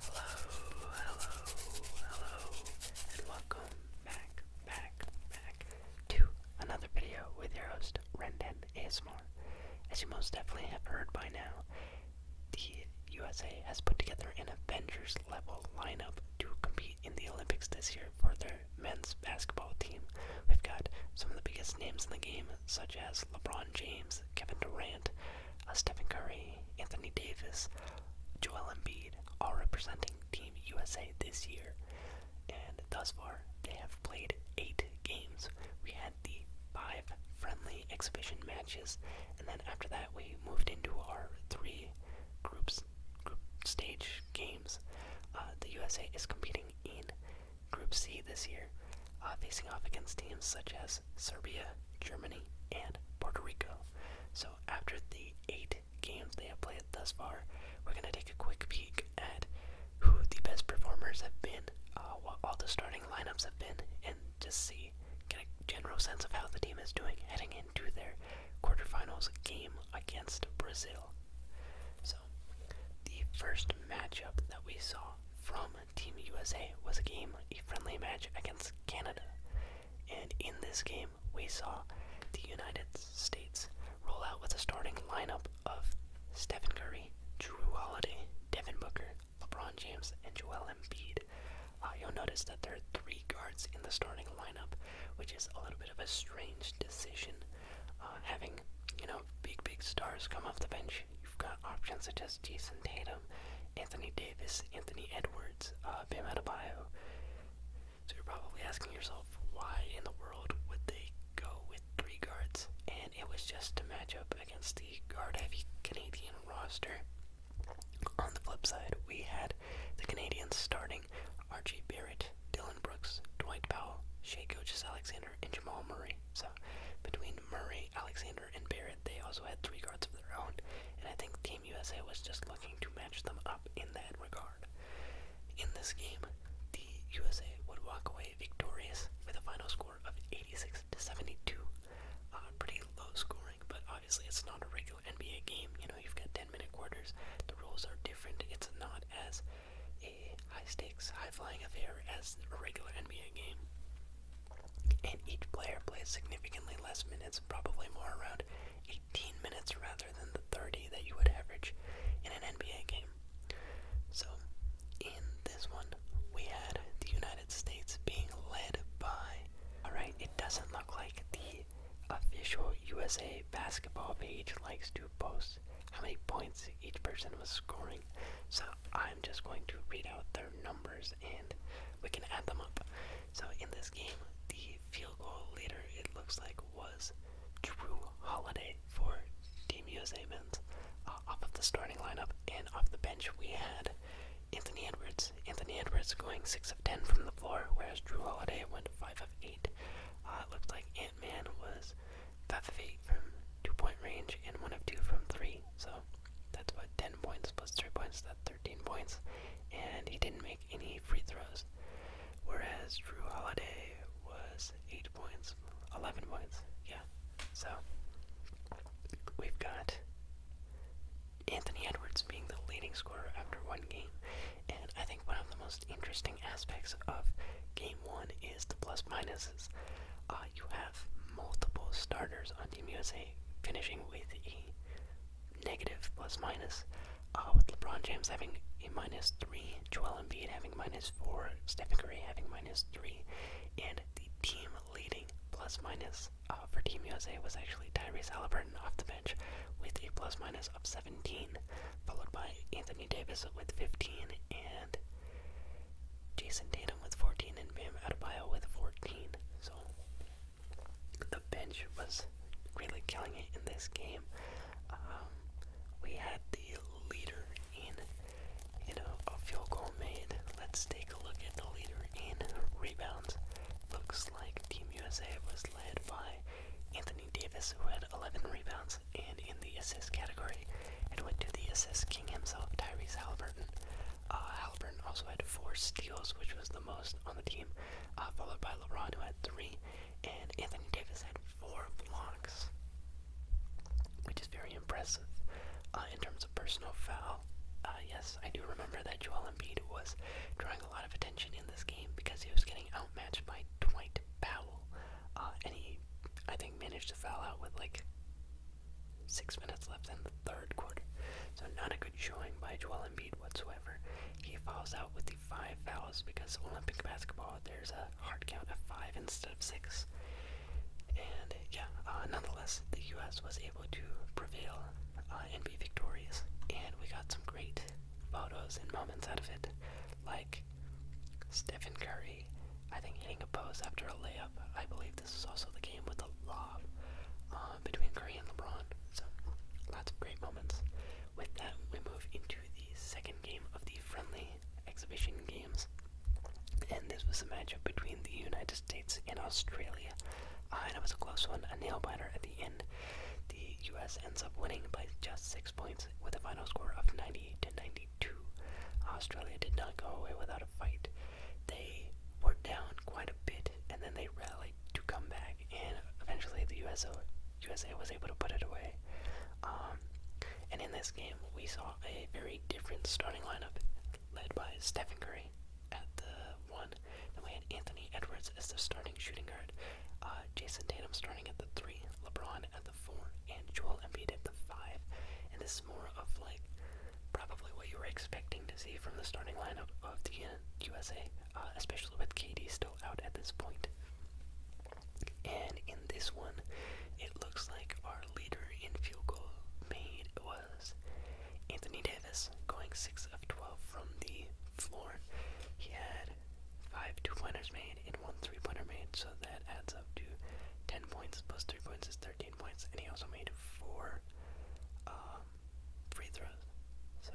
Hello, hello, hello, and welcome back, back, back to another video with your host, Rendon ASMR. As you most definitely have heard by now, the USA has put together an Avengers level lineup to compete in the Olympics this year for their men's basketball team. We've got some of the biggest names in the game, such as LeBron James, Kevin Durant, uh, Stephen Curry, Anthony Davis, Joel Embiid, all representing Team USA this year. And thus far, they have played eight games. We had the five friendly exhibition matches, and then after that, we moved into our three groups, group stage games. Uh, the USA is competing in Group C this year, uh, facing off against teams such as Serbia, Germany, and Puerto Rico. So, after the eight games they have played thus far, we're going to take a quick peek at who the best performers have been, uh, what all the starting lineups have been, and just see, get a general sense of how the team is doing heading into their quarterfinals game against Brazil. So, the first matchup that we saw from Team USA was a game, a friendly match against Canada. And in this game, we saw the United States roll out with a starting lineup of Stephen Curry, Drew Holiday, Devin Booker, LeBron James, and Joel Embiid. Uh, you'll notice that there are three guards in the starting lineup, which is a little bit of a strange decision. Uh, having, you know, big, big stars come off the bench You've got options such as Jason Tatum, Anthony Davis, Anthony Edwards, uh, Bam Adebayo. So you're probably asking yourself, why in the world would they go with three guards? And it was just to match up against the guard-heavy Canadian roster. On the flip side, we had the Canadians starting Archie Barrett, Dylan Brooks, Dwight Powell, Shea Gilgis Alexander, and Jamal Murray. So between Murray Alexander, and Barrett, they also had three guards of their own, and I think Team USA was just looking to match them up in that regard. In this game, the USA would walk away victorious with a final score of 86 to 72. Uh, pretty low scoring, but obviously it's not a regular NBA game. You know, you've got 10 minute quarters, the rules are different, it's not as high stakes, high flying affair as a regular NBA game. And each player plays significantly less minutes, probably more around 18 minutes rather than the 30 that you would average in an NBA game. So, in this one, we had the United States being led by. Alright, it doesn't look like the official USA basketball page likes to post how many points each person was scoring so I'm just going to read out their numbers and we can add them up. So in this game, the field goal leader, it looks like, was Drew Holiday for Team USA Men's. Uh, off of the starting lineup and off the bench, we had Anthony Edwards. Anthony Edwards going 6 of 10 from the floor, whereas Drew Holiday went 5 of 8. Uh, it looks like Ant Man was 5 of from 2 point range, and 1 of 2 from 3. So that's what 10 points plus 3 points, that's 13 points. And he didn't make any free throws. Whereas Drew Holiday was 8 points, 11 points, yeah. So we've got Anthony Edwards being the leading scorer after one game. And I think one of the most interesting aspects of game one is the plus minuses. Uh, you have multiple starters on Team USA finishing with a negative plus minus, uh, with LeBron James having a minus three, Joel Embiid having minus four, Stephen Curry having minus three, and the team leading plus minus uh, for Team USA was actually Tyrese Halliburton off the bench with a plus minus of 17, followed by Anthony Davis with 15 and Jason Tatum with 14 and Bam Adebayo with 14. So the bench was really killing it in this game. Um, we had the leader in you know a field goal made. Let's take a look at the leader in rebounds. Looks like Team USA was led by Anthony Davis, who had 11 rebounds and in the assist category, it went to the assist king himself, Tyrese Halliburton. Uh, Halliburton also had four steals, which was the most on the team, uh, followed by LeBron, who had three, and Anthony Davis had four blocks, which is very impressive. Uh, in terms of personal foul, yes, I do remember that Joel Embiid was drawing a lot of attention in this game because he was getting outmatched by Dwight Powell, and he, I think, managed to foul out with like Six minutes left in the third quarter, so not a good showing by Joel Embiid whatsoever. He falls out with the five fouls because Olympic basketball, there's a hard count of five instead of six. And yeah, uh, nonetheless, the U.S. was able to prevail uh, and be victorious, and we got some great photos and moments out of it, like Stephen Curry, I think hitting a pose after a layup. I believe this is also the game with the lob uh, between Curry and LeBron. So, lots of great moments. With that, we move into the second game of the friendly exhibition games. And this was a matchup between the United States and Australia. Uh, and it was a close one, a nail biter at the end. The U.S. ends up winning by just six points with a final score of 98 to 90. Australia did not go away without a fight. They were down quite a bit, and then they rallied to come back, and eventually the USA was able to put it away. Um, and in this game, we saw a very different starting lineup led by Stephen Curry at the 1. Then we had Anthony Edwards as the starting shooting guard, uh, Jason Tatum starting at the 3, LeBron at the 4, and Joel Embiid at the 5. And this more of like probably what you were expecting to see from the starting lineup of the USA, uh, uh, especially with KD still out at this point. And in this one, it looks like our leader in field goal made was Anthony Davis, going 6 of 12 from the floor. He had five two pointers made and one three pointer made, so that adds up to 10 points plus 3 points is 13 points, and he also made 4 um, free throws. So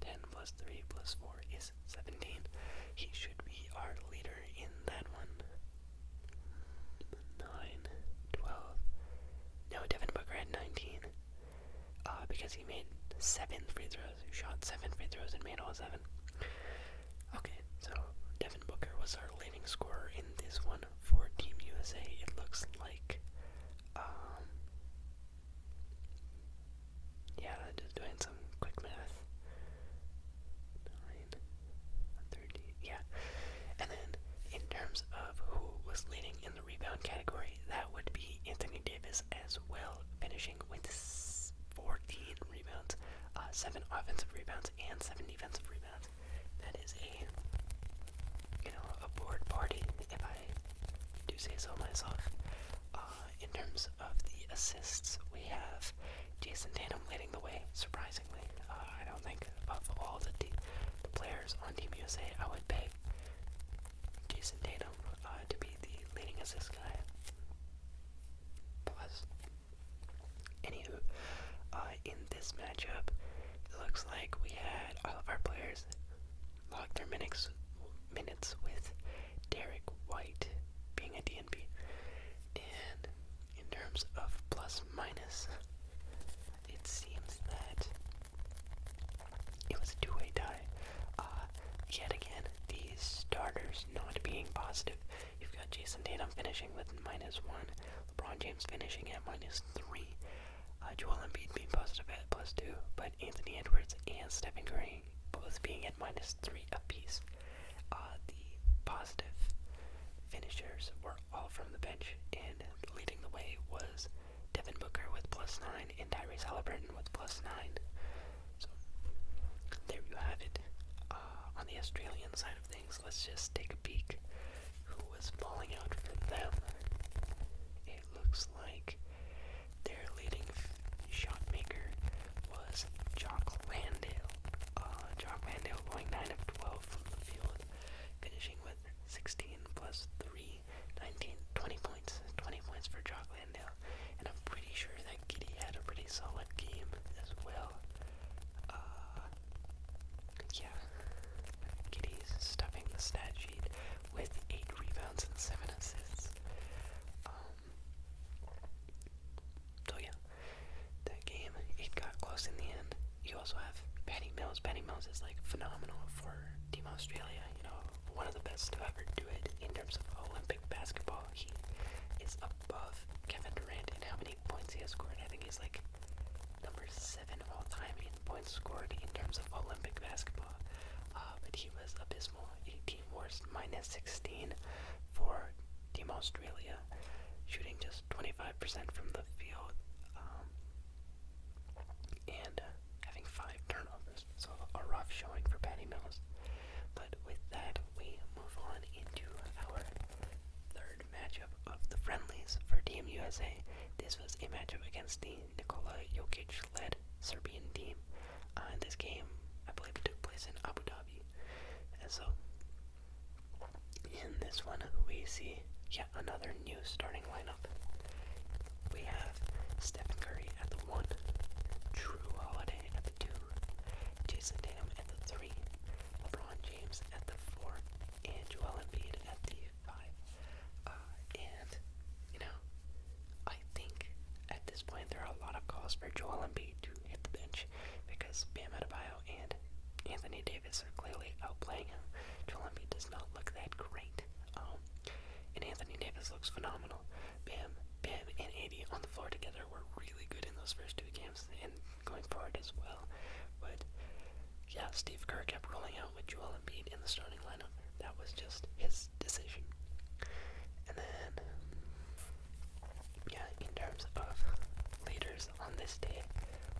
10 plus 3 plus 4 is 17. He should be our leader in that one. 9, No, Devin Booker had 19. Uh, because he made seven free throws, shot seven free throws and made all seven. Okay, so Devin Booker was our leading scorer in this one for Team USA. It looks like, um, yeah, just doing some quick math. Nine, yeah. And then, in terms of who was leading in the rebound category, that would be Anthony Davis as well, finishing with 14 rebounds, uh, seven offensive rebounds, and seven defensive rebounds. That is a you know a board party, if I do say so myself. Uh, in terms of the assists, we have Jason Tatum leading the way. Surprisingly, uh, I don't think of all the, players on Team USA, I would pick Jason Tatum to be the leading assist guy. Plus, Anywho, uh, in this matchup, it looks like we had all of our players log their minutes, minutes with Derek White being a DNP. And in terms of plus minus, it seems that it was a two way tie. Uh, yet again, these starters not being positive You've got Jason Tatum finishing with minus one, LeBron James finishing at minus three, uh, Joel Embiid being positive at plus two, but Anthony Edwards and Stephen Curry both being at minus three apiece. Uh, the positive finishers were all from the bench, and leading the way was Devin Booker with plus nine and Tyrese Halliburton with plus nine. So there you have it. Uh, on the Australian side of Let's just take a peek. Who was falling out for them? It looks like their leading shot maker was Jock Landale. Uh, Jock Landale going 9 of 12 from the field, finishing with 16 plus 3, points. 20 points for Jock Landale. And I'm pretty sure that Giddy had a pretty solid game as well. Uh, yeah. Giddy's stuffing the stat sheet with eight rebounds and seven assists. Um, so yeah, that game it got close in the end. You also have Patty Mills. Patty Mills is like phenomenal for Team Australia. You know, one of the best to ever do it in terms of Olympic basketball. He is above Kevin Durant in how many many points he has scored. I think he's like number seven all time in points scored in terms of Olympic basketball. Uh, but he was abysmal. 18 wars, minus 16 for Team Australia, shooting just 25% from the field um, and uh, having five turnovers. So a rough showing for Patty Mills. But with that, we move on into our third matchup of the friendlies for Team USA. This was a matchup against the Nikola Jokic led Serbian team. Uh, this game, I believe, took place in Abu Dhabi. And so, in this one, we see yet another new starting lineup. We have Stephen Curry at the 1, Drew Holiday at the 2, Jason Tatum at the 3, LeBron James at the four, and Joel Embiid at the five. Uh, and you know, I think at this point there are a lot of calls for Joel Embiid to hit the bench because Bam Adebayo and Anthony Davis are clearly outplaying him. Joel Embiid does not look that great. Um, and Anthony Davis looks phenomenal. Bam, Bam, and AD on the floor together were really good in those first two games and going forward as well. But yeah, Steve Kerr kept rolling out with Joel Embiid in the starting lineup. That was just his decision. And then, yeah, in terms of leaders on this day,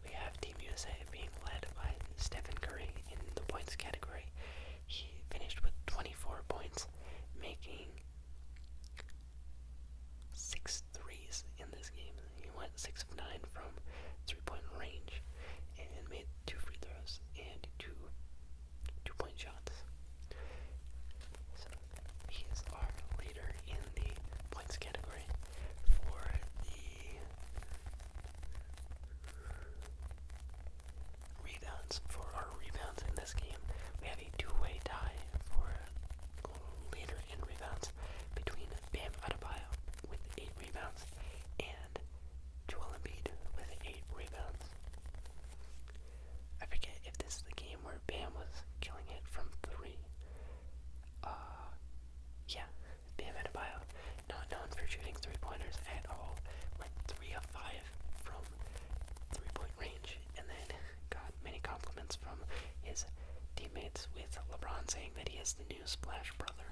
we have Team USA being led by Stephen Curry in the points category. He finished with 24 points, making six threes in this game. He went six of nine from three-point range and made two free throws and two two-point shots. So he is our leader in the points category for the rebounds. For our rebounds in this game, we have a two-way tie for leader in rebounds between Bam Adebayo with 8 rebounds and Joel Embiid with 8 rebounds. I forget if this is the game where Bam was killing it from 3. Uh, yeah, Bam Adebayo, not known for shooting 3-pointers at all, went 3 of 5 from 3-point range and then got many compliments from his teammates, with LeBron saying that he is the new Splash Brother.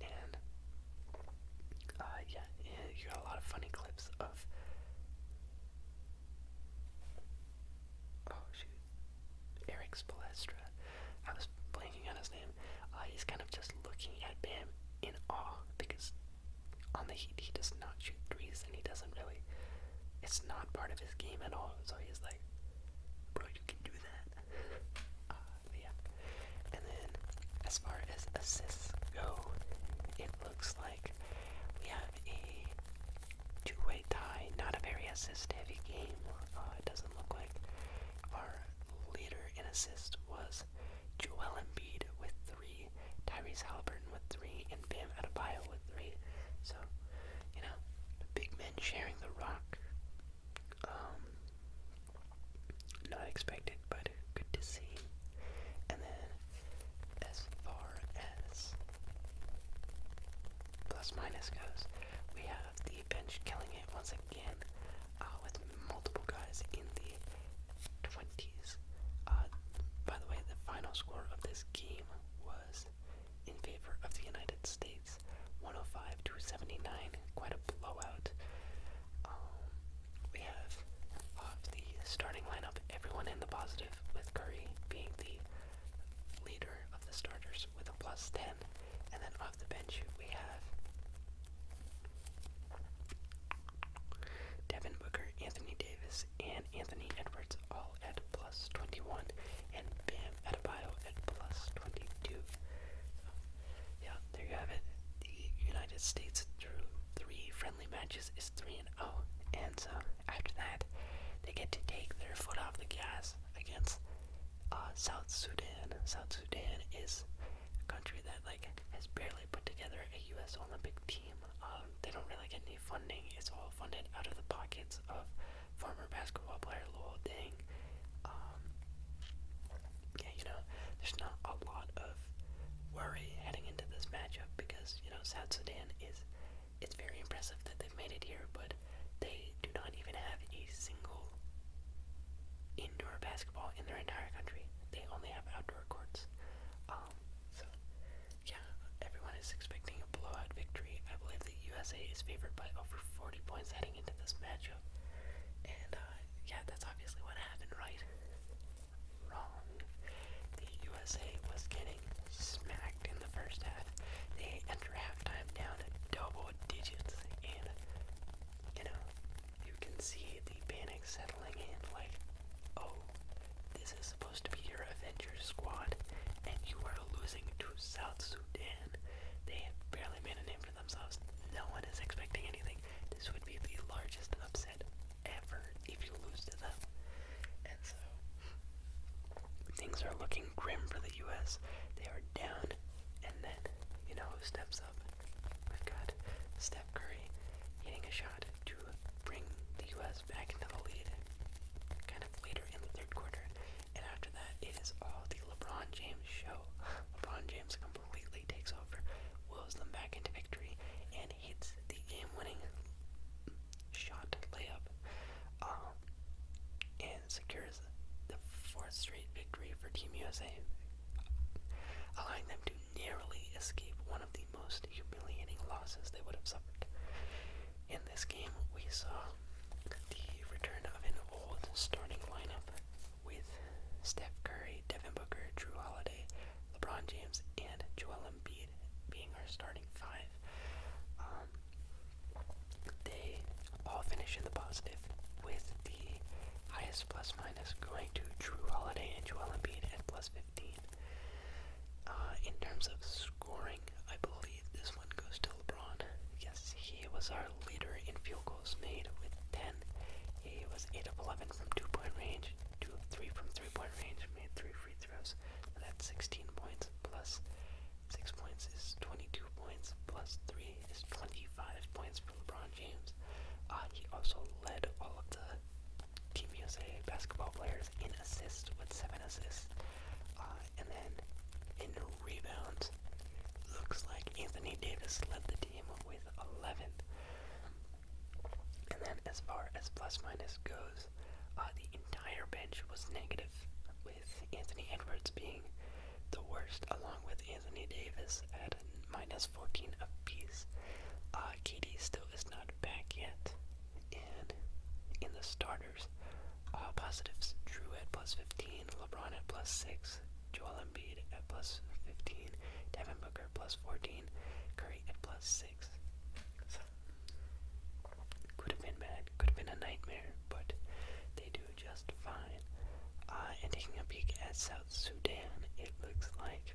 And uh, yeah, you got a lot of funny clips of. Oh shoot, Eric Spolestra. I was blanking on his name. Uh, he's kind of just looking at him in awe because on the Heat he does not shoot threes and he doesn't really it's not part of his game at all. So he's like, bro, you can do that. Uh, yeah. And then as far as assists go, it looks like we have a two-way tie. Not a very assist-heavy game. Uh, it doesn't look like our leader in assists was Joel Embiid with three, Tyrese Halliburton with three, and Bam Adebayo with three. So, you know, big men sharing the rock. Um, not expected, but good to see. And then, as far as plus minus goes, we have the bench killing it once again uh, with multiple guys in the 20s. Uh, by the way, the final score of this game was in favor of the United States, 105 to 79. Quite a blowout. Um, we have off the starting lineup everyone in the positive, with Curry being the leader of the starters with a plus 10. And then off the bench, we have Devin Booker, Anthony Davis, and Anthony Edwards all at plus 21, and Bam Adebayo at plus 22. So, yeah, there you have it. The United States through three friendly matches is 3 and 0, and so uh, after that, they get to take their foot off the gas against uh, South Sudan. South Sudan is a country that like has barely put together a U.S. Olympic team, um, they don't really get any funding. It's all funded out of the pockets of former basketball player Lowell Ding. Um, yeah, you know, there's not a lot of worry heading into this matchup because you know South Sudan is. It's very impressive that they've made it here, but they do not even have a single indoor basketball in their entire country. They only have outdoor courts. Um, so yeah, everyone is expecting a blowout victory. I believe the USA is favored by over 40 points heading into this matchup. And, uh, yeah, that's obviously what happened, right? Wrong. The USA was getting smacked in the first half. They enter halftime down at double digits, and, you know, you can see the panic settling in, like, oh, this is supposed to be your Avengers squad, and you are losing to South Sudan. They have barely made a name for themselves. No one is expecting anything. This would be the largest upset ever if you lose to them. And so, things are looking grim for the U.S. They are down, and then, you know who steps up? We've got Steph Curry hitting a shot to bring the U.S. back into the lead kind of later in the third quarter. And after that, it is all the LeBron James show. LeBron James completely takes over, wills them back into victory, and hits the game winning shot layup um, and secures the fourth straight victory for Team USA, allowing them to narrowly escape one of the most humiliating losses they would have suffered. In this game, we saw the return of an old starting lineup with Steph Curry, Devin Booker, Drew Holiday, LeBron James, and Joel Embiid being our starting five. Um, they all finish in the positive with the highest plus minus going to Drew Holiday and Joel Embiid at plus uh, in terms of scoring, I believe this one goes to LeBron. Yes, he was our leader in field goals made with 10. He was 8 of 11 from two point range, 2 of 3 from three point range, made 3 free throws. that's 16 points plus 6 points is 22 points plus 3 is 25 points for LeBron James. Uh, he also led all of the Team USA basketball players in assists with seven assists. Uh, and then in rebounds, looks like Anthony Davis led the team with 11. And then as far as plus minus goes, uh, the entire bench was negative, with Anthony Edwards being the worst, along with Anthony Davis at minus 14 apiece. Uh, KD still is not back yet, in the starters, all uh, positives. Drew at plus 15, LeBron at plus 6, Joel Embiid at plus 15, Devin Booker plus 14, Curry at plus 6. could have been bad, could have been a nightmare, but they do just fine. Uh, and taking a peek at South Sudan, it looks like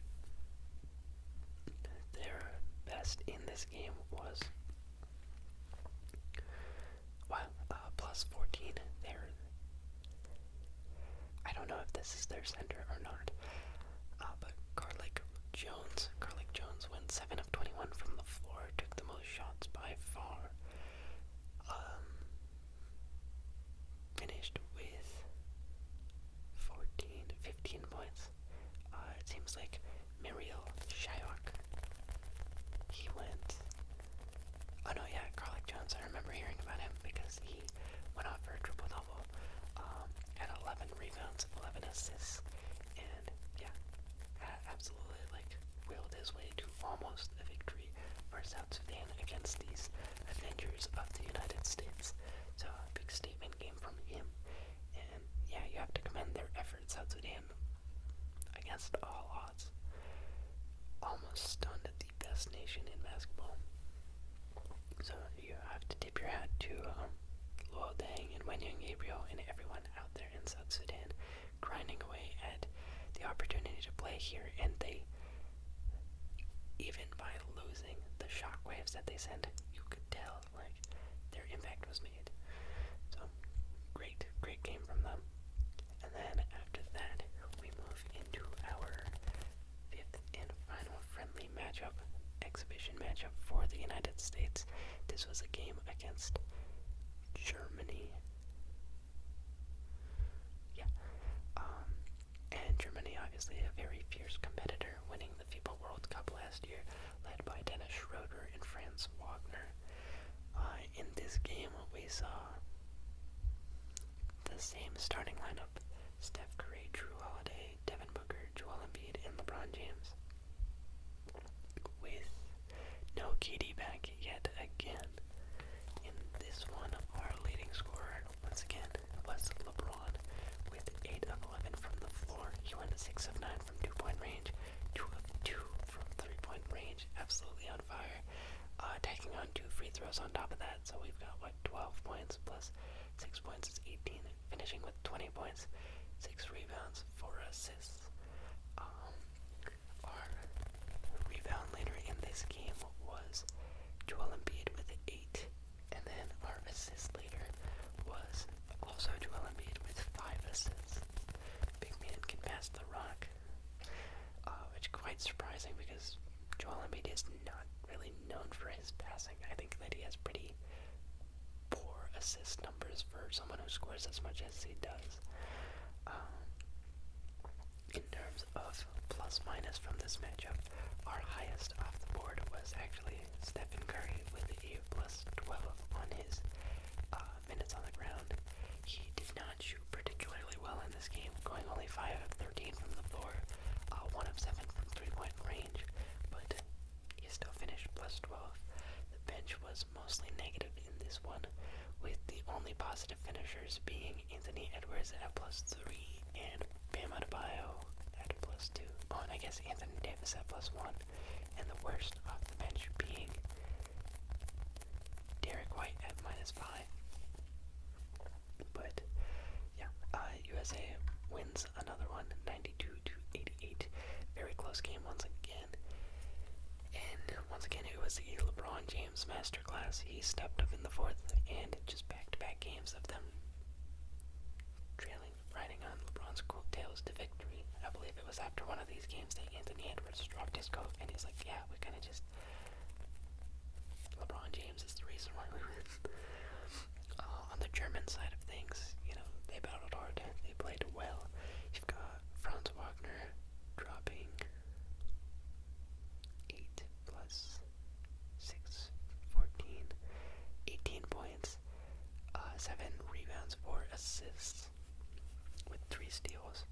they're best in this this game was well, uh, plus 14 there. I don't know if this is their center or not, uh, but Garlic Jones, Garlic Jones went 7 of 21 from the floor, took the most shots by far, um, finished with 14, 15 points, uh, it seems like Muriel Shyok. He went. Oh no, yeah, Carlick Jones. I remember hearing about him because he went out for a triple double um, 11 rebounds, 11 assists, and yeah, absolutely like willed his way to almost a victory for South Sudan against these Avengers of the United States. So a big statement game from him, and yeah, you have to commend their efforts South Sudan against all odds. Almost stunned the best nation in basketball. So you have to tip your hat to um, and Wenyang Gabriel and everyone out there in South Sudan grinding away at the opportunity to play here and they even by losing the shockwaves that they sent, you could tell like their impact was made. So great, great game from them. And then after that, we move into our fifth and final friendly matchup, exhibition matchup for the United States. This was a game against Germany. Yeah. Um, and Germany, obviously, a very fierce competitor, winning the FIBA World Cup last year, led by Dennis Schroeder and Franz Wagner. Uh, in this game, we saw the same starting lineup Steph Curry, Drew Holiday, Devin Booker, Joel Embiid, and LeBron James. With no KD back yet again. In this one, our leading scorer, once again, was LeBron with 8 of 11 from the floor. He went 6 of 9 from two point range, 2 of 2 from three point range, absolutely on fire. Uh, taking on two free throws on top of that, so we've got what 12 points plus 6 points is 18, finishing with 20 points, 6 rebounds, 4 assists. Um, our rebound leader in this game was Joel Embiid with 8. And then our assist leader was also Joel Embiid with five assists. Big man can pass the rock, uh, which is quite surprising because Joel Embiid is not really known for his passing. I think that he has pretty poor assist numbers for someone who scores as much as he does. Um, in terms of plus minus from this matchup, our highest off the board was actually actually Stephen Curry with a plus 12 on his uh, minutes on the ground. He did not shoot particularly well in this game, going only 5 of 13 from the floor, uh, 1 of 7 from three-point range, but he still finished plus 12. The bench was mostly negative in this one, with the only positive finishers being Anthony Edwards at plus 3 and Bam Adebayo at plus 2. and I guess Anthony Davis at plus 1. And the worst off the bench being Derek White at minus 5. But, yeah, USA uh, wins another one, 92 to 88. Very close game once again. And once again, it was the LeBron James masterclass. He stepped up in the fourth and just back to back games of them trailing riding on LeBron's cool tails to victory. I believe it was after one of these games that Anthony Edwards dropped his coat and he's like, yeah, we kind of just. LeBron James is the reason why we win. Uh, on the German side of things, you know, they battled hard, they played well. You've got Franz Wagner dropping 8 plus 6, 18 points. Uh, seven rebounds, four assists, with three steals.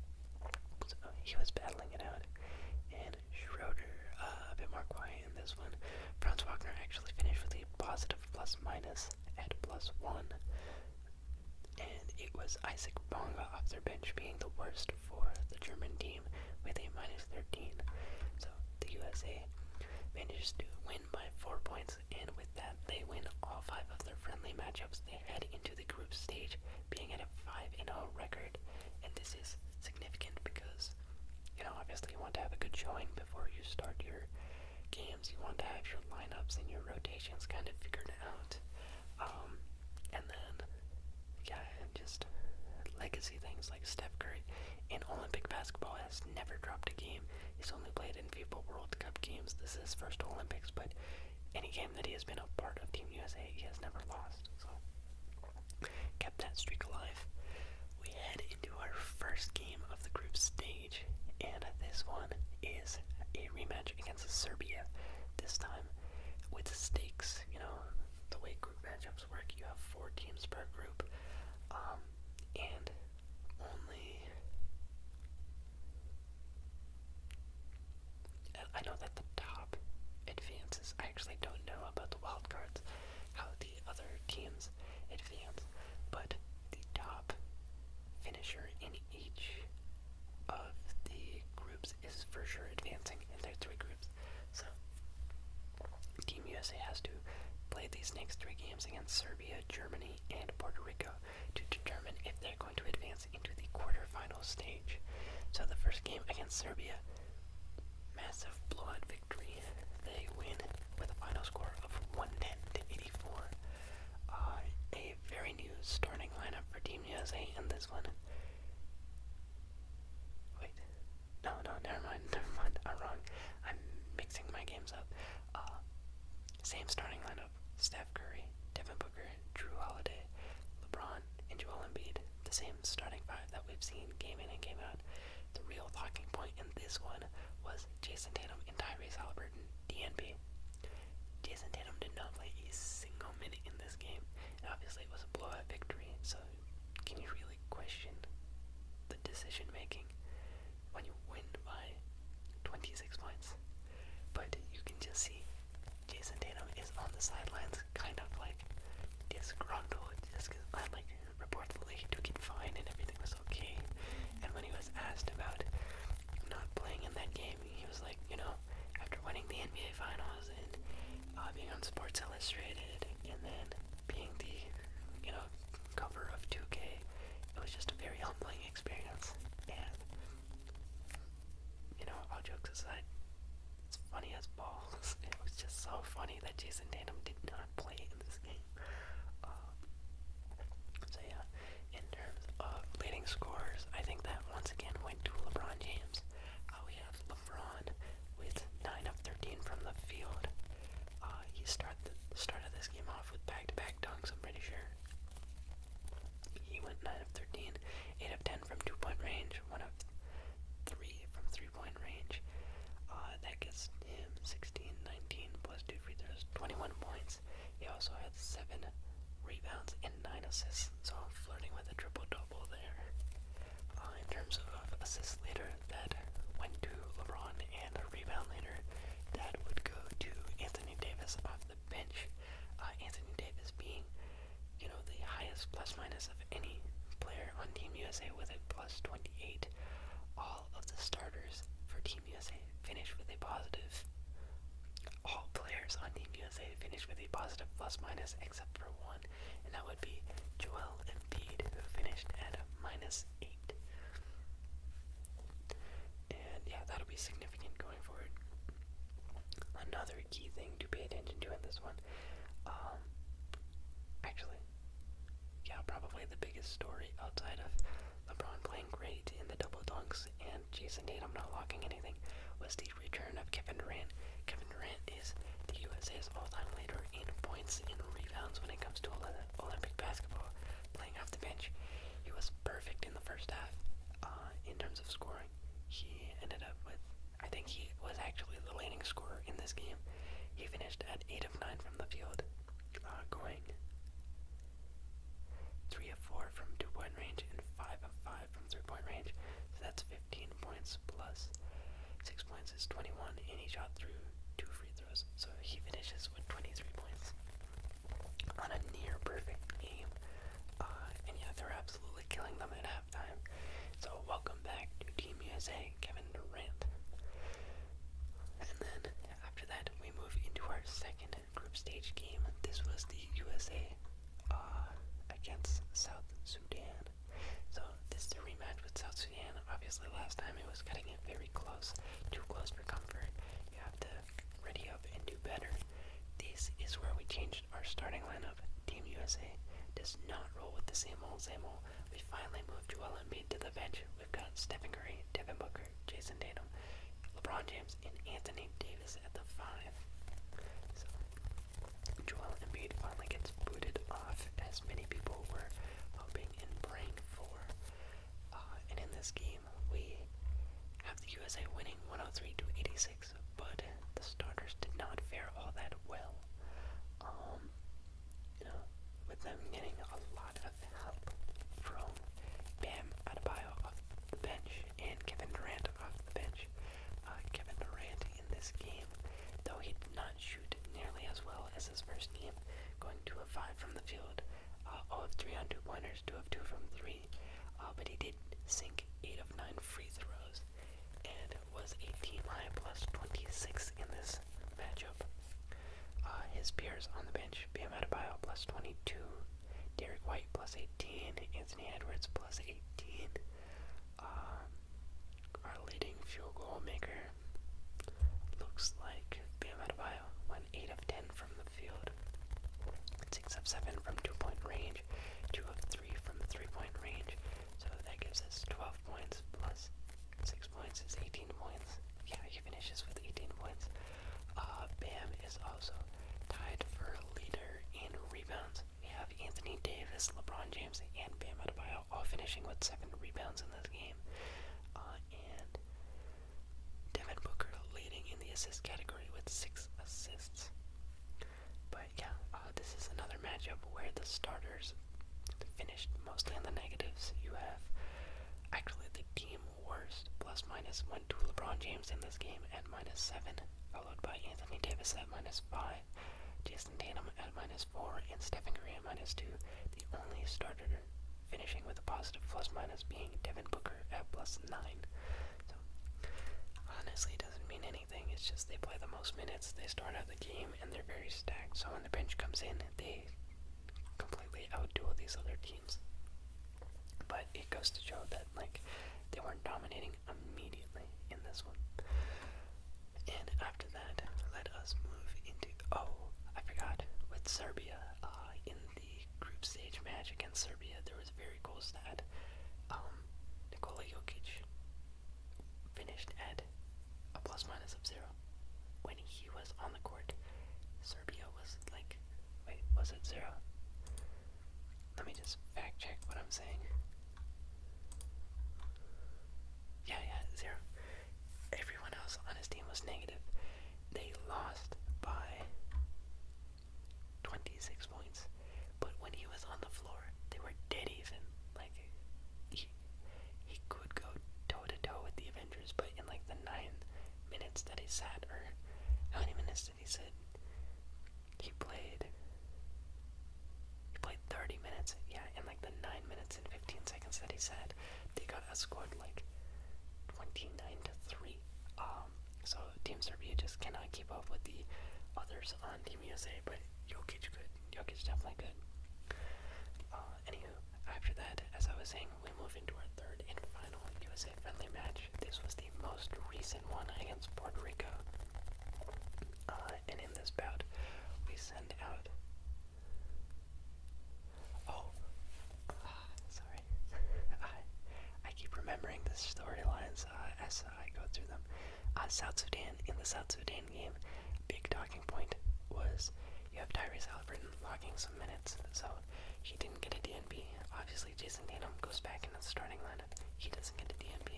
he was battling it out. And Schroeder, uh, a bit more quiet in this one. Franz Wagner actually finished with a positive plus minus at plus one. And it was Isaac Bonga off their bench being the worst for the German team with a minus 13. So the USA managed to win win by 4 points, and with that, they win all 5 of their friendly matchups. They head into the group stage being at a 5 0 record, and this is significant because, you know, obviously you want to have a good showing before you start your games. You want to have your lineups and your rotations kind of figured out. Um, and then, yeah, and just legacy things like Steph Curry in Olympic basketball has never dropped a game. He's only played in a few World Cup games. This is his first Olympics, but any game that he has been a part of Team USA, he has never lost. So kept that streak alive. We head into our first game of the group stage, and this one is a rematch against Serbia. This time with stakes, you know, the way group matchups work, you have four teams per group, um, and only. I know that the top advances. I actually don't know about the wild how the other teams advance, but the top finisher in each of the groups is for sure advancing in their three groups. So Team USA has to play these next three games against Serbia, Germany, and Puerto Rico to determine if they're going to advance into the quarterfinal stage. So the first game against Serbia, massive blowout victory. They win with a final score of 110 to 84. Uh, a very new starting lineup for Team USA in this one. Wait, no, no, never mind, never mind. I'm wrong. I'm mixing my games up. Uh, same starting lineup: Steph Curry, Devin Booker, Drew Holiday, LeBron, and Joel Embiid. The same starting five that we've seen game in and game out. The real talking point in this one was Jason Tatum and Tyrese Halliburton, DNP. Jason Tatum did not play a single minute in this game, obviously it was a blowout victory. So, can you really? really question the decision making when you win by 26 points. But you can just see Jason Tatum is on the sidelines, kind of like disgruntled, just because I'm uh, like reportedly he took it fine and everything was okay. And when he was asked about not playing in that game, he was like, you know, after winning the NBA Finals and uh, being on Sports Illustrated, and then being the, you know, cover of 2K. It was just a very humbling experience, and you know, all jokes aside, it's funny as balls. It was just so funny that Jason Tatum did not play in this game. Um, so yeah, in terms of leading scores, I think that once again went to LeBron James. we have LeBron with nine of 13 from the field, uh, he started this game off with back-to-back -back dunks, I'm pretty sure. He went 9 of 13, 8 of 10 from two-point range, 1 of 3 from three-point range. Uh, that gets him 16, 19, plus 2 free throws, 21 points. He also had 7 rebounds and 9 assists, so flirting with a triple-double there. Uh, in terms of assists leader that went to LeBron and a rebound later that would go to Anthony Davis off the bench. Uh, Anthony Davis being, you know, the highest plus minus of any player on Team USA with a plus 28. All of the starters for Team USA finished with a positive. All players on Team USA finished with a positive plus minus except for one, and that would be Joel Embiid, who finished at a minus eight. And yeah, that'll be significant going forward. Another key thing to pay attention to in this one, um, actually, yeah, probably the biggest story outside of LeBron playing great in the double dunks and I'm not locking anything was the return of Kevin Durant. Kevin Durant is the USA's all-time leader in points and rebounds when it comes to Olympic basketball, playing off the bench. He was perfect in the first half uh, in terms of scoring. He ended up with, I think he was actually the leading scorer in this game. He finished at 8 of 9 from the field, uh, going 3 of 4 from two point range and 5 of 5 from three point range. So that's 15 points plus 6 points is 21, and he shot through two free throws so he finishes with 23 points on a near perfect game. Uh, and yeah, they're absolutely killing them at halftime. So welcome back to Team USA, Kevin Durant. And then after that, we move into our second group stage game. This was the USA uh, against South Sudan. So this is a rematch with South Sudan. Obviously, last time it was getting it very close, too close for comfort. You have to ready up and do better. This is where we changed our starting lineup. Team USA does not roll with the same old, same old. We finally moved Joel Embiid to the bench. We've got Stephen Curry, Devin Booker, Jason Tatum, LeBron James, and Anthony Davis at the five. So Joel Embiid finally gets booted off, as many people were hoping in Brain 4. Uh, and in this game, we have the USA winning 103 to 86, but the starters did not fare all that well. Um, you know, with them getting a lot of help from Bam Adebayo off the bench and Kevin Durant off the bench. Uh, Kevin Durant in this game, though he did not shoot nearly as well as his first game, going 2 of 5 from the field, uh, oh, of 3 on two pointers, 2 of 2 from 3, uh, but he did sink 8 of 9 free throws and was 18 high plus 26 in this matchup. Uh, his peers on the bench, Bam Adebayo plus 22, Derek White plus 18, Anthony Edwards plus 18, uh, our leading field goal maker, looks like Bam Adebayo went 8 of 10 from the field, 6 of 7 from two point range, 2 of 3 from three point range, so that gives us 12 points plus 6 points is 18 points. Yeah, he finishes with 18 points. Uh, Bam is also tied for leader in rebounds. We have Anthony Davis, LeBron James, and Bam Adebayo all finishing with seven rebounds in this game. Uh, and Devin Booker leading in the assist category with six assists. But yeah, uh, this is another matchup where the starters finished mostly on the negatives. You have actually the team worst plus minus went to LeBron James in this game at minus seven, followed by Anthony Davis at minus five, Tatum at minus 4 and Stephen Curry at minus 2. The only starter finishing with a positive plus minus being Devin Booker at plus 9. So, honestly, it doesn't mean anything. It's just they play the most minutes, they start out the game, and they're very stacked. So, when the bench comes in, they completely outduel these other teams. But it goes to show that, like, they weren't dominating immediately in this one. And after that, let us move into. Oh, I forgot. With Serbia, uh, in the group stage match against Serbia, there was a very cool stat. Um, Nikola Jokic finished at a plus minus of zero. When he was on the court, Serbia was like. Wait, was it zero? Let me just fact check what I'm saying. Yeah, yeah, zero. Everyone else on his team was negative. They lost by 26 points. But when he was on the floor, they were dead even. Like, he, he could go toe to toe with the Avengers, but in like the ninth minutes that he sat, or how many minutes did he sit? He played he played 30 minutes, yeah, in like the 9 minutes and 15 seconds that he said. They got outscored like 29 to 3. Um, so Team Serbia just cannot keep up with the others on Team USA, but Jokic good. Jokic definitely good. Uh, anywho, after that, as I was saying, we move into our third and final USA friendly match. This was the most recent one against Puerto Rico. Uh, and in this bout, we send out Oh, uh, sorry. I, I keep remembering the storylines uh, as I go through them. Uh, South Sudan, in the South Sudan game, big talking point was you have Tyrese Halliburton logging some minutes, so he didn't get a DNP. Obviously, Jason Tatum goes back into the starting lineup. He doesn't get a DNP.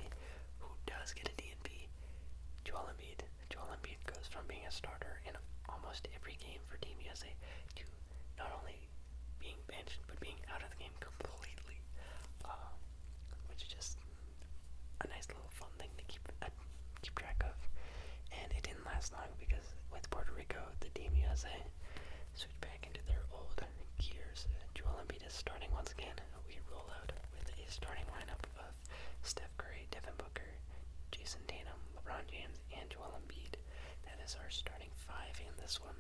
Who does get a DNP? Joel Embiid fact that Joel Embiid goes from being a starter in almost every game for Team USA to not only being benched but being out of the game completely, um, which is just a nice little fun thing to keep uh, keep track of. And it didn't last long because with Puerto Rico, the Team USA switched back into their old gears. Joel Embiid is starting once again. We roll out with a starting lineup of Steph, Steph Curry, Devin Booker, Jason Tatum, LeBron James, and Joel Embiid. That is our starting five in this one.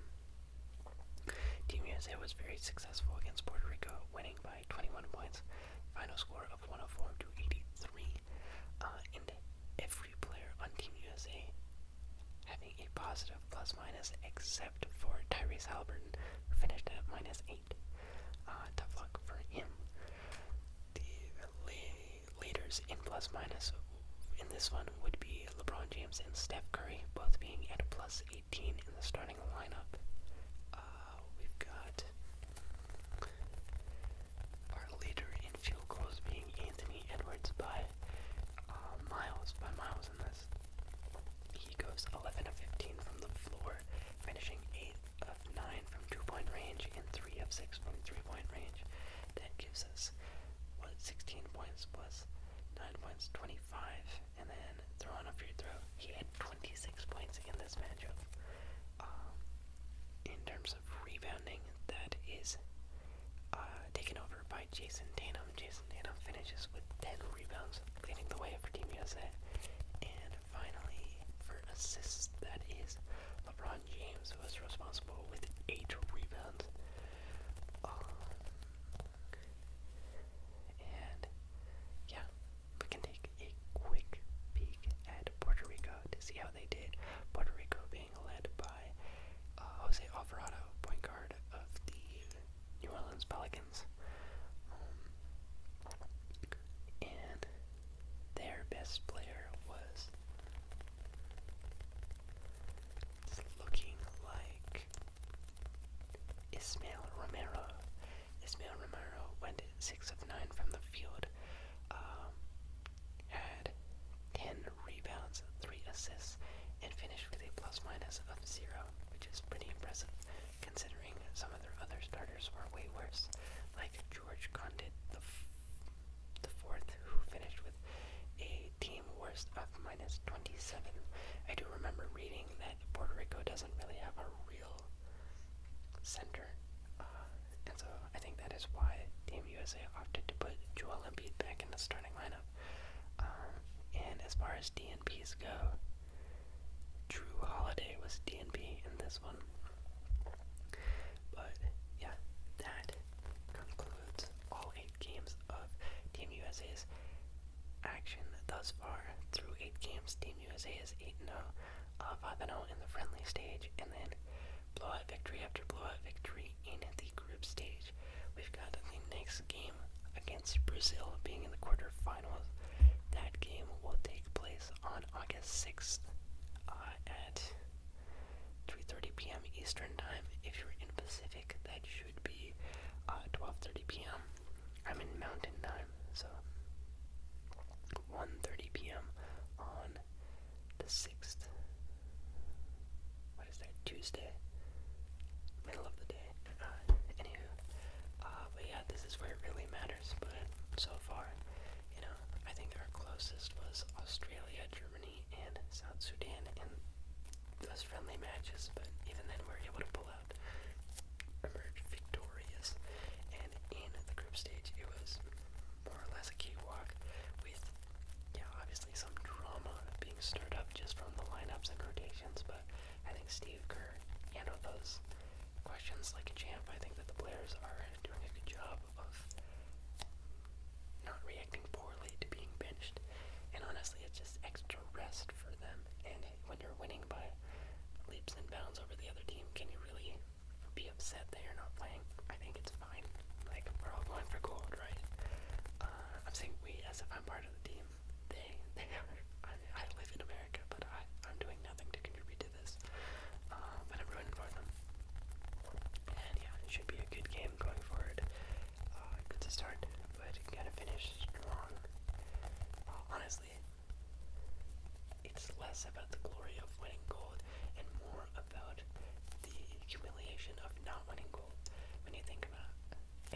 Team USA was very successful against Puerto Rico, winning by 21 points, final score of 104 to 83, uh, and every player on Team USA having a positive plus minus except for Tyrese Halliburton, finished at minus eight. Uh, tough luck for him. The leaders in plus minus in this one would be LeBron James and Steph Curry, both being at plus 18 in the starting lineup. Uh, we've got our leader in field goals being Anthony Edwards by uh, Miles, by Miles in this. He goes 11 of 15 from the floor, finishing 8th of 9 from two-point range and 3 of 6 from three-point range. That gives us what 16 points plus 9 points, 25. And then throw on a free throw. He had 26 points in this matchup. Um, in terms of rebounding, that is uh, taken over by Jason Tatum. Jason Tatum finishes with 10 rebounds, leading the way for Team USA finally, for assists, that is, LeBron James was responsible with eight rebounds. Oh, and yeah, we can take a quick peek at Puerto Rico to see how they did. Puerto Rico being led by uh, Jose Alvarado, point guard of the New Orleans Pelicans. Um, their best player was looking like Ismail Romero. Ismail Romero went six of nine from the field, um, had ten rebounds, three assists, and finished with a plus minus of zero, which is pretty impressive considering some of their other starters were way worse, like George Condit the, fourth, who finished with a team worst of minus 27. I do remember reading that Puerto Rico doesn't really have a real center, uh, and so I think that is why Team USA opted to put Joel Embiid back in the starting lineup. Uh, and as far as DNPs go, Drew Holiday was DNP in this one. But yeah, that concludes all eight games of Team USA's action thus far. Through eight games, Team USA is 8 0, uh, 5 0 in the friendly stage, and then blowout victory after blowout victory in the group stage. We've got the next game against Brazil being in the quarterfinals. That game will take place on August 6th uh, at 3:30 p.m. Eastern Time. If you're in Pacific, that should be 12:30 uh, p.m. I'm in Mountain Time, so 1:30 p.m. on the 6th. What is that? Tuesday, middle of the day. Uh, anywho, uh, but yeah, this is where it really matters. But so far, you know, I think our closest was Australia, Germany, and South Sudan in those friendly matches. But even then, we were able to pull out, emerge victorious. And in the group stage, it was more or less a cakewalk with, yeah, obviously some drama being stirred up just from the lineups and rotations. But I think Steve Kerr handled those questions like a champ. I think that the players are doing a good job of not reacting poorly to being benched. And honestly, it's just extra rest for them. And when you're winning by leaps and bounds over the other team, can you really be upset they are not playing? I think it's fine. Like, we're all going for gold, right? Uh, I'm saying we as if I'm part of the team. They, they I, I live in America but I, am doing nothing to contribute to this. Uh, but I'm rooting for them. And yeah, it should be a good game going forward. Uh, good to start, but gonna finish strong. Uh, honestly, it's less about the glory of winning gold and more about the humiliation of not winning gold. When you think about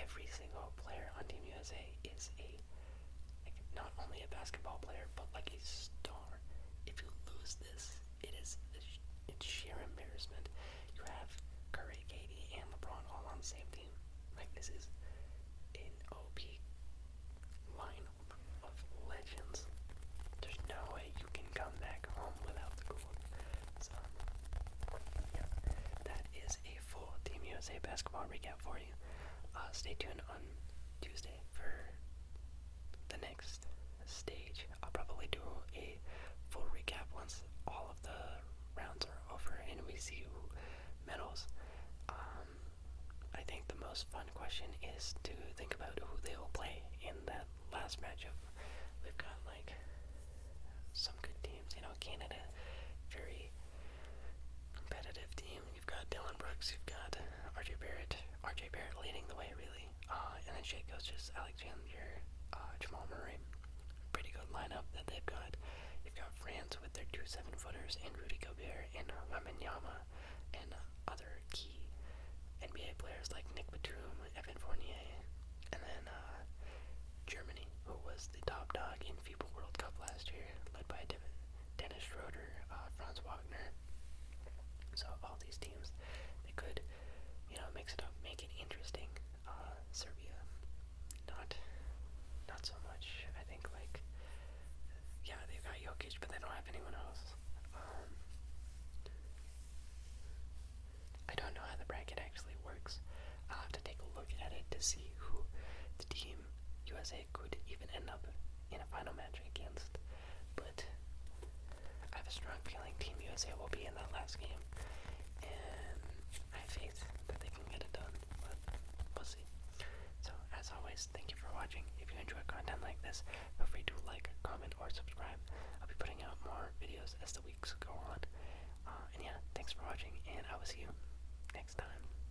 every single player on Team USA is a not only a basketball player but like a star. If you lose this, it is it's sheer embarrassment. You have Curry, Katie, and LeBron all on the same team. Like this is an OP lineup of legends. There's no way you can come back home without the gold. So yeah, that is a full Team USA basketball recap for you. Uh, stay tuned on Tuesday for the next stage. I'll probably do a full recap once all of the rounds are over and we see who medals. Um, I think the most fun question is to think about who they will play in that last matchup. We've got like some good teams, you know, Canada, very competitive team. You've got Dylan Brooks, you've got RJ Barrett, RJ Barrett leading the way really, uh, and then Shea coaches Alexander, uh, Jamal Murray. Pretty good lineup that they've got. You've got France with their two seven footers and Rudy Gobert and Yama and other key NBA players like Nick Batum, Evan Fournier, and then uh, Germany, who was the top dog in FIBA World Cup last year, led by Devin, Dennis Schroeder, uh, Franz Wagner. So all these teams, they could, you know, mix it up, make it interesting. Uh, Serbia, not, not so much. I think like, yeah, they've got Jokic, but they don't have anyone else. Um, I don't know how the bracket actually works. I'll have to take a look at it to see who the team USA could even end up in a final match against. But I have a strong feeling Team USA will be in that last game, and I have faith that they can get it done. But we'll see. So as always, thank you for watching. If you enjoy content like this, feel free to like, comment, or subscribe. I'll be putting out more videos as the weeks go on. Uh, and yeah, thanks for watching, and I will see you next time.